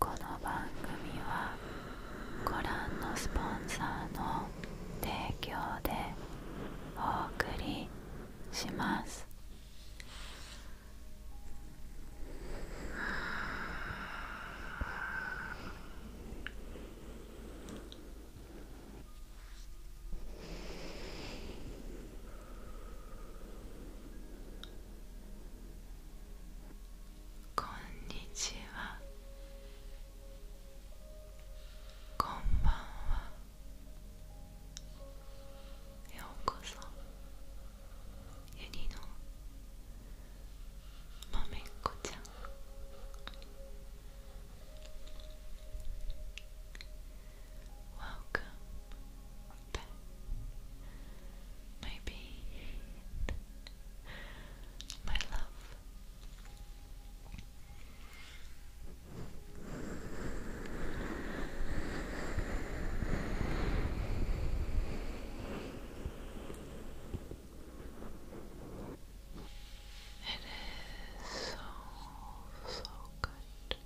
この番組はご覧のスポンサーの提供でお送りします。こんにちはこんばんはようこそ 윤희노 맘의 고장 Welcome back my beat my love it is so, so good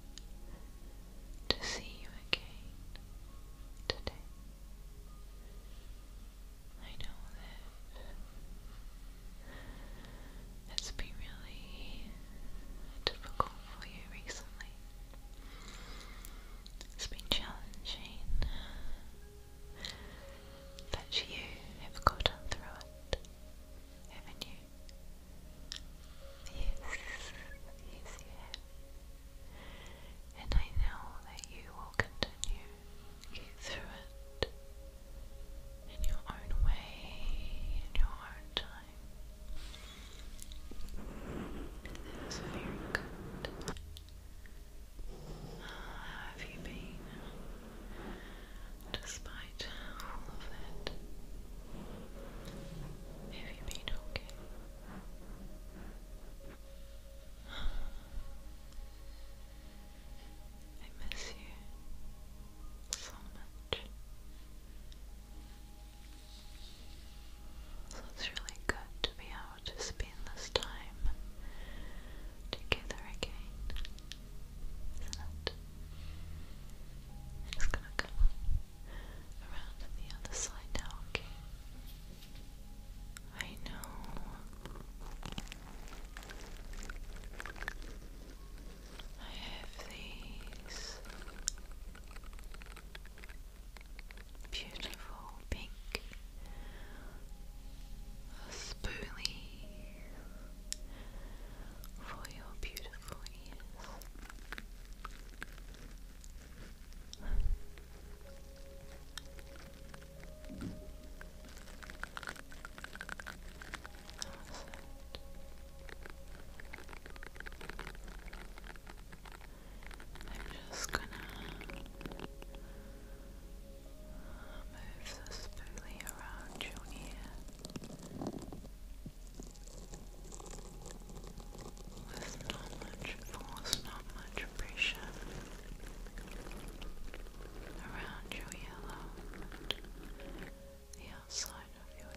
to see you again today. I know that it's been really difficult for you recently. It's been challenging, but you have gotten through it, haven't you? Yes, yes, you have. And I know that you will continue through it in your own way, in your own time. This how have you been? Despite all of that, have you been okay? I miss you so much. So it's really good to be able to spend this time together again, isn't it? i gonna come around the other side now, okay? I know. I have these beautiful pink, spoolie for your beautiful ears. I'm just gonna move this fully around your ear. With not much force, not much pressure around your earlobe, the outside of your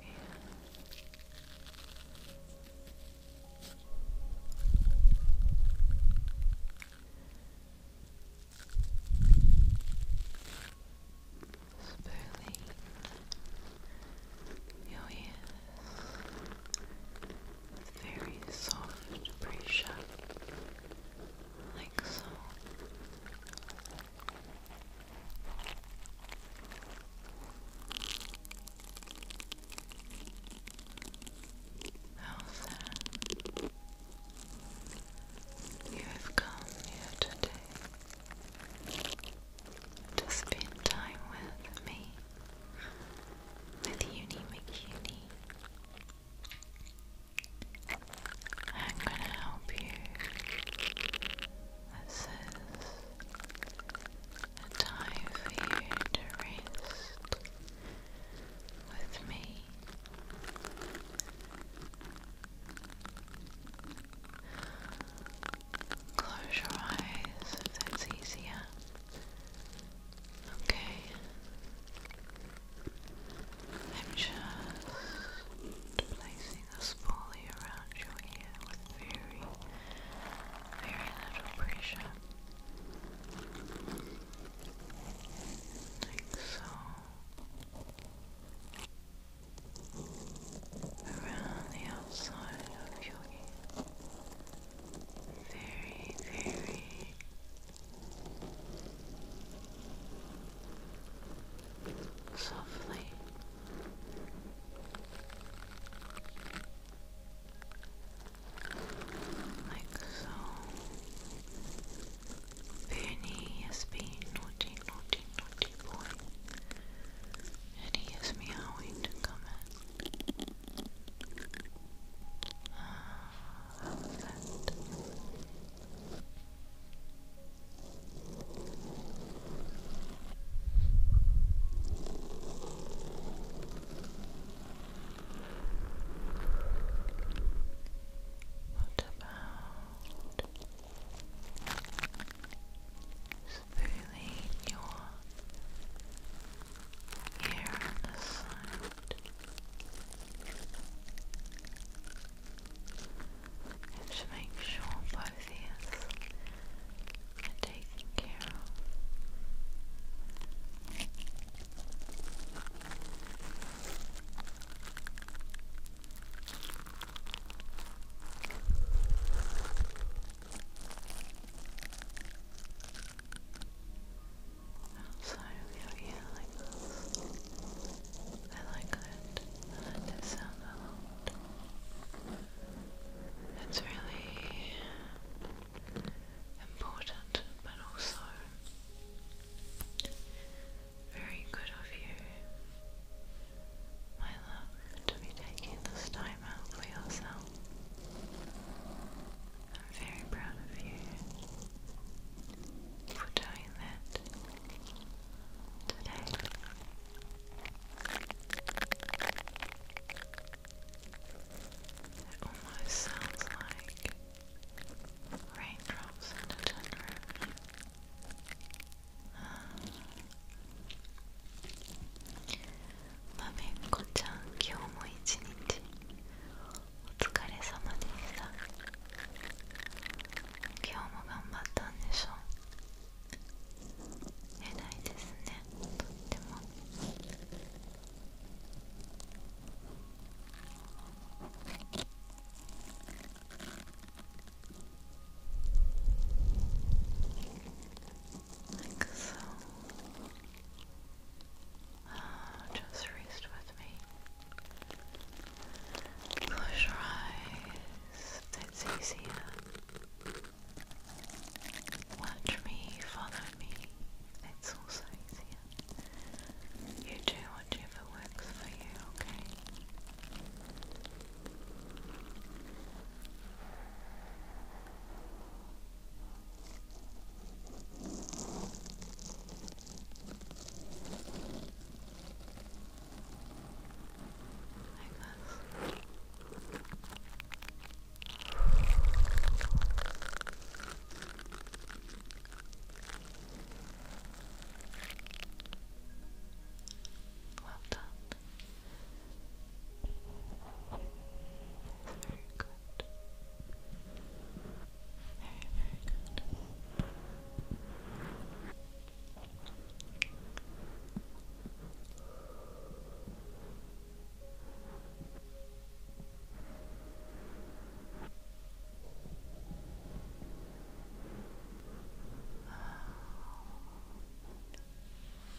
your ears with very soft pressure, like so. Elsa, you have come here today to spend time with me, with Uni McUni. I'm gonna help you. This is a time for you to rest with me. Close your eyes if that's easier. Okay. I'm just placing this around your ear with very, very little pressure. Like so. Around the outside of your ear. Very, very softly. Like so. Bernie naughty, naughty, naughty boy. And he is meowing to come in. Ah, how was that? What about smoothing your hair on And to make sure that enthusiasm and care of. Outside of your earlings. I like it. I like sound a it's really important, but also very good of you, my love, to be taking this time out for yourself. I'm very proud of you for doing that today. It almost sounds like raindrops in a tin roof. まめっこちゃん、今日も一日お疲れ様でした。今日も頑張ったんでしょう。Uh, so ah, just rest with me close your eyes that's easier Watch me, follow me. It's also easier. You do whichever works for you, okay? Like this. Well done. Very good. Very, very good.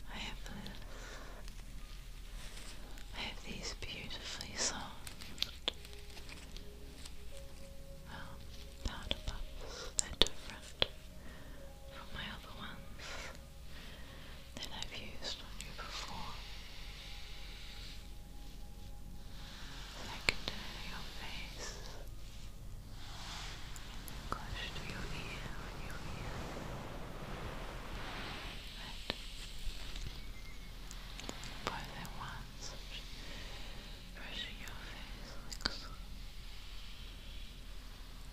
I have I have these beautifully soft um, powder puffs. They're different from my other ones that I've used on you before. I can your face and your ear your ear. Right. Both at once, brushing your face like Oh,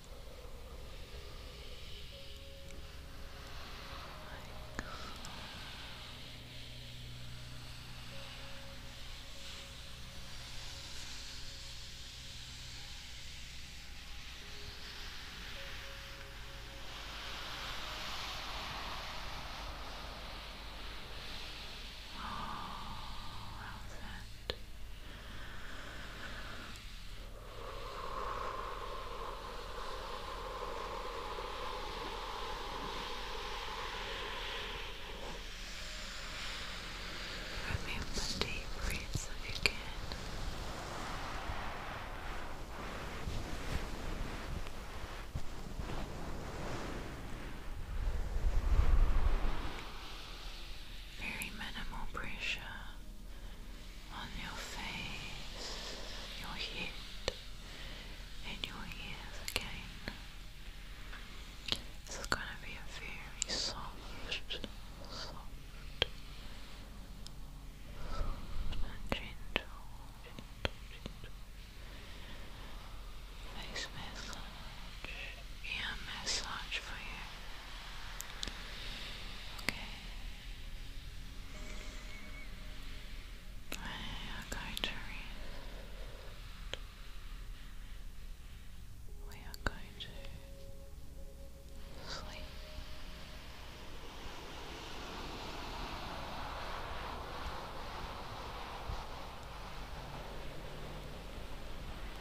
how's that? Remove the deep breaths if you can very minimal pressure on your face, your head, and your ears again. This is going to be a very soft, soft, soft and gentle, face massage, ear massage for you. Okay. I'm going to We are going to sleep.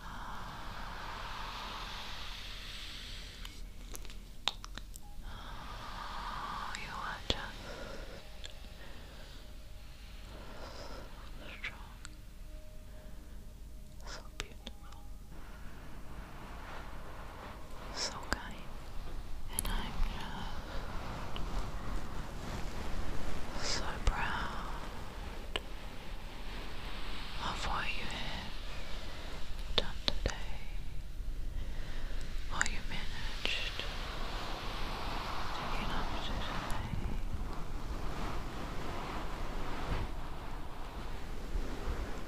Oh, you are just strong. So beautiful, so kind, and I'm just so proud of what you have done today, what you managed to get up today.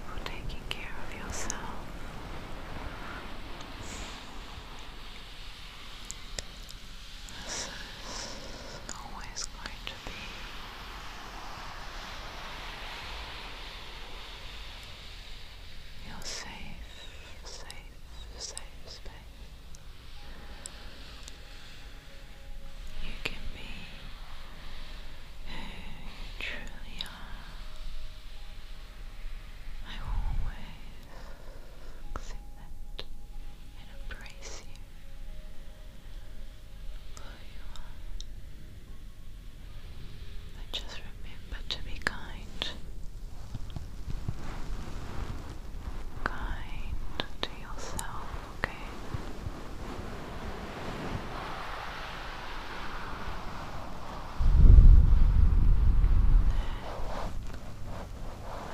For taking care of yourself. This is always going you're safe, safe, safe space. You can be who you truly are. I will always accept and embrace you. Who you are. just remember to be kind. Kind to yourself, okay?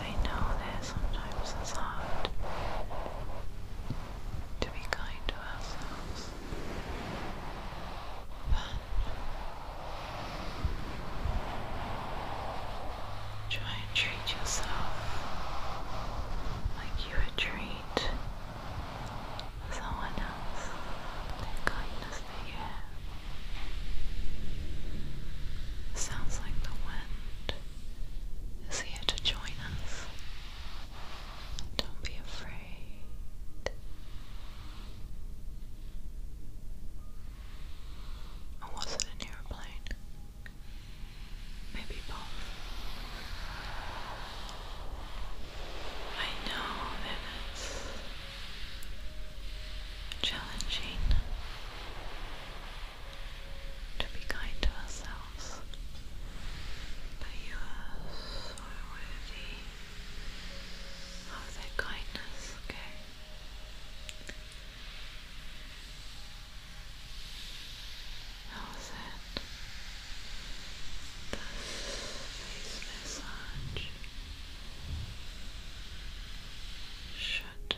I know that sometimes it's hard to be kind to ourselves, but try and treat yourself like you would treat someone else, the kindness that have. Sounds like the wind is here to join us don't be afraid. Or was an airplane? Maybe both. I know that challenging to be kind to ourselves. But you are so worthy of their kindness, okay? That This massage should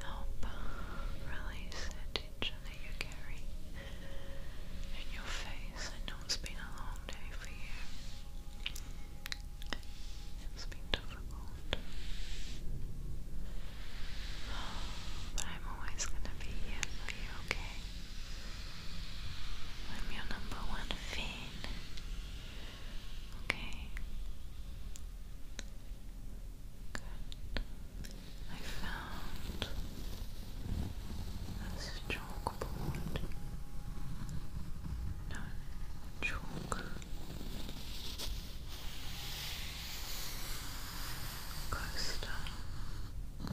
help release the that you carry in your face. I know it's been a long day for you. It's been difficult. But I'm always going to be here for you, okay? I'm your number one fan. Okay? Good. I found this chalkboard. No, chalk. Coaster. I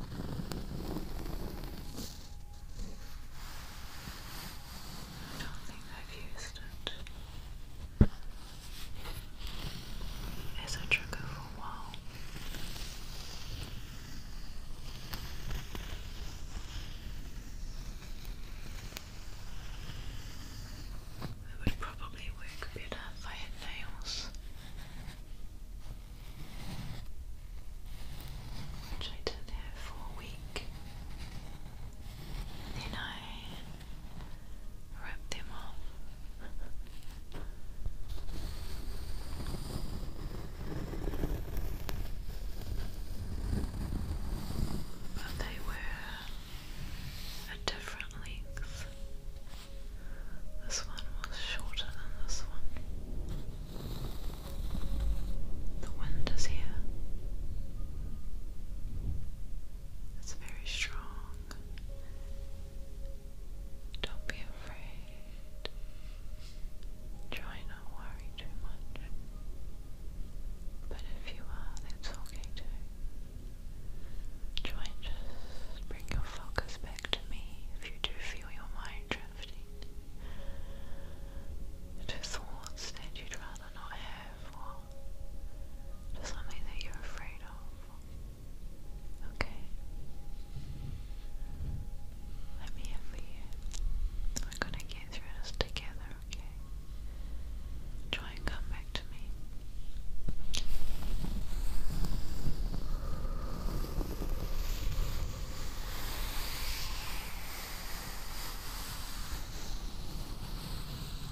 don't think I've used it is a trigger for wow. It would probably work better if I had nails, which I didn't for a week. then I Rip them off. But they were at different lengths. This one was shorter than this one. The wind is here. It's very strong. Don't be afraid. Try not worry too much. But if you are, that's okay too. Try and just bring your focus back to me if you do feel your mind drifting to thoughts that you'd rather not have or to something that you're afraid of. Okay. Let me have you. We're gonna get through this together, okay? Try and come back to me.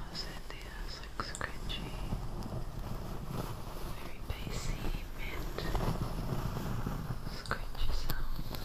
How's it? The ass looks crunchy. Very bassy, mint. Scrunchy sound.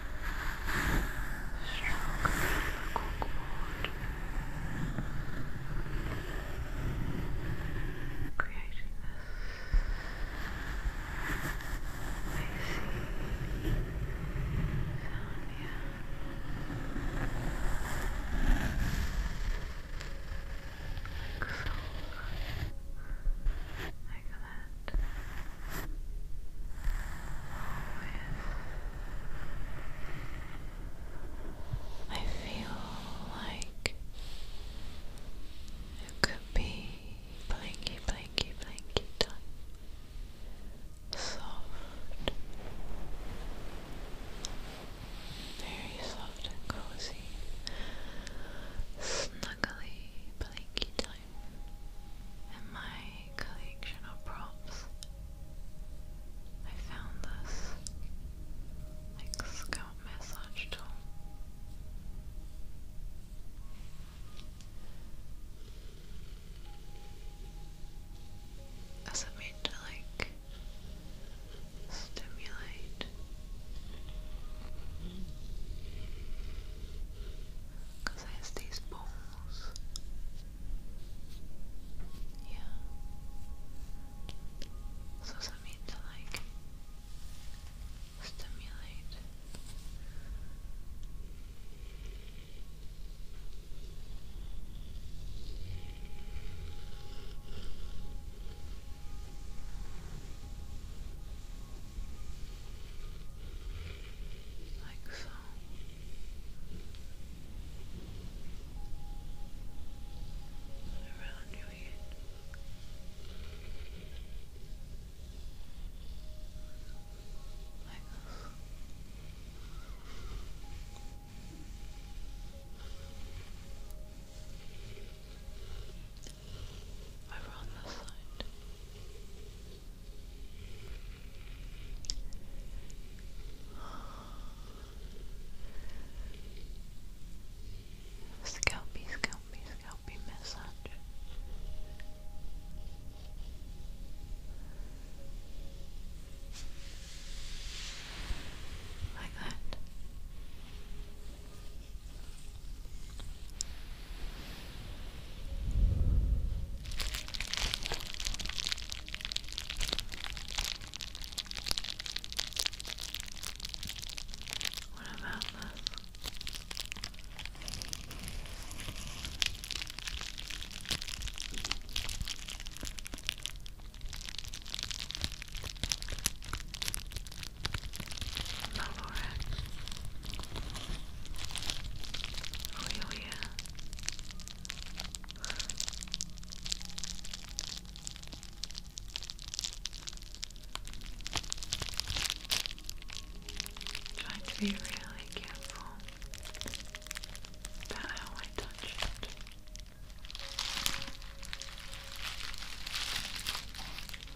stroke cold creating this icy sound here like so like that I feel like it could be blanky, blanky, blanky time. Soft, very soft and cozy, snuggly, blanky time in my collection of props. I found this scalp massage tool. Is it made to like stimulate because I have these bones. Yeah. So does that to like stimulate? like so. Around your head. Like this over on this side. Scalpy, scalpy, scalpy massage. Like that. What about this? Malorax, Oioia, Trying to be really careful about how I touch it.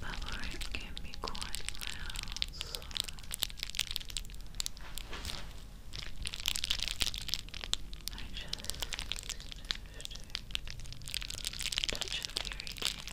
But Lauren can be quite loud. I just touch it very gently.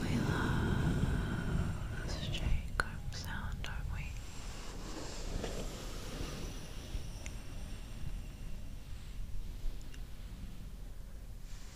We love this Jacob sound, don't we?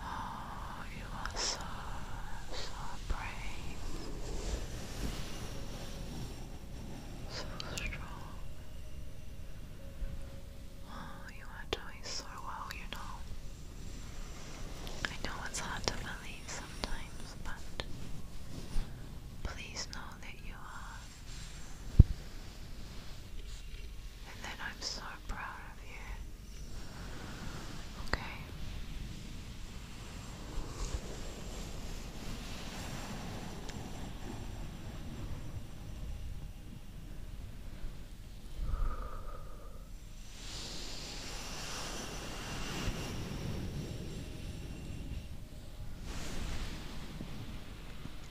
Oh, you are so, so brave, so strong. Oh, you are doing so well, you know. I know it's hard to believe sometimes, but please know that you are and then I'm so proud of you. Okay.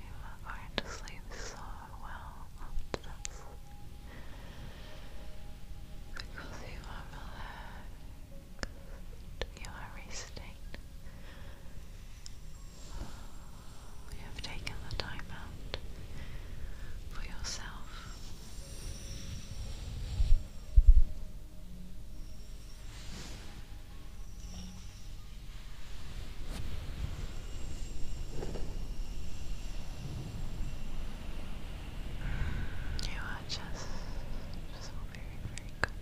You are going to sleep so well after this because you are relaxed, you are resting. You have taken the time out for yourself. You are just, just very, very good.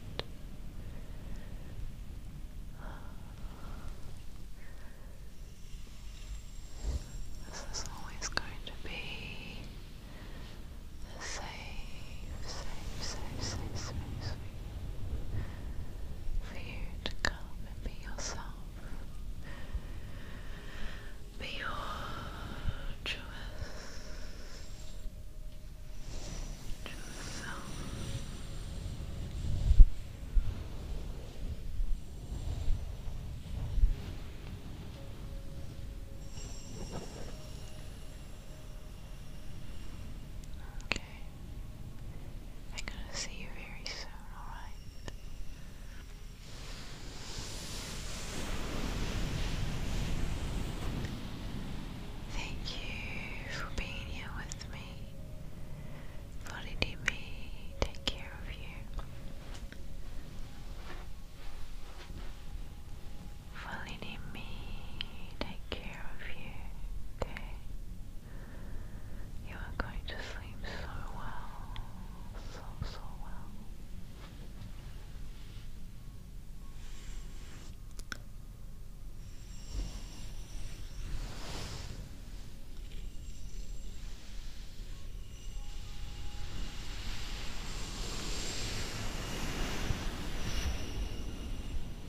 This is always going to be a safe, safe, safe, safe, safe, safe, for you to come and be yourself, be your truest, self. Okay. I'm gonna see you very soon, alright? Thank you for being here with me. Bloody DB, take care of you falling in me, take care of you, okay? You are going to sleep so well, so, so well.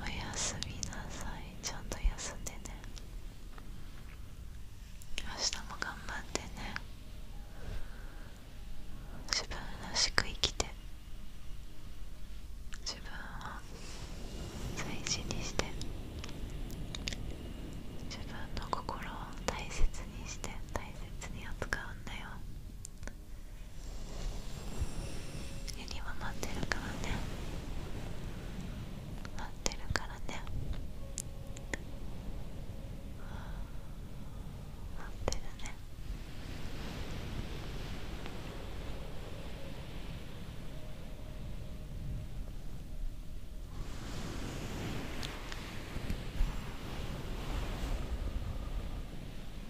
おやすみなさいちゃんと休んでね明日も頑張ってね自分らしく生きて自分を大事にして自分の心を大切にして大切に扱うんだよエリは待ってるからね待ってるからね待ってるねうあ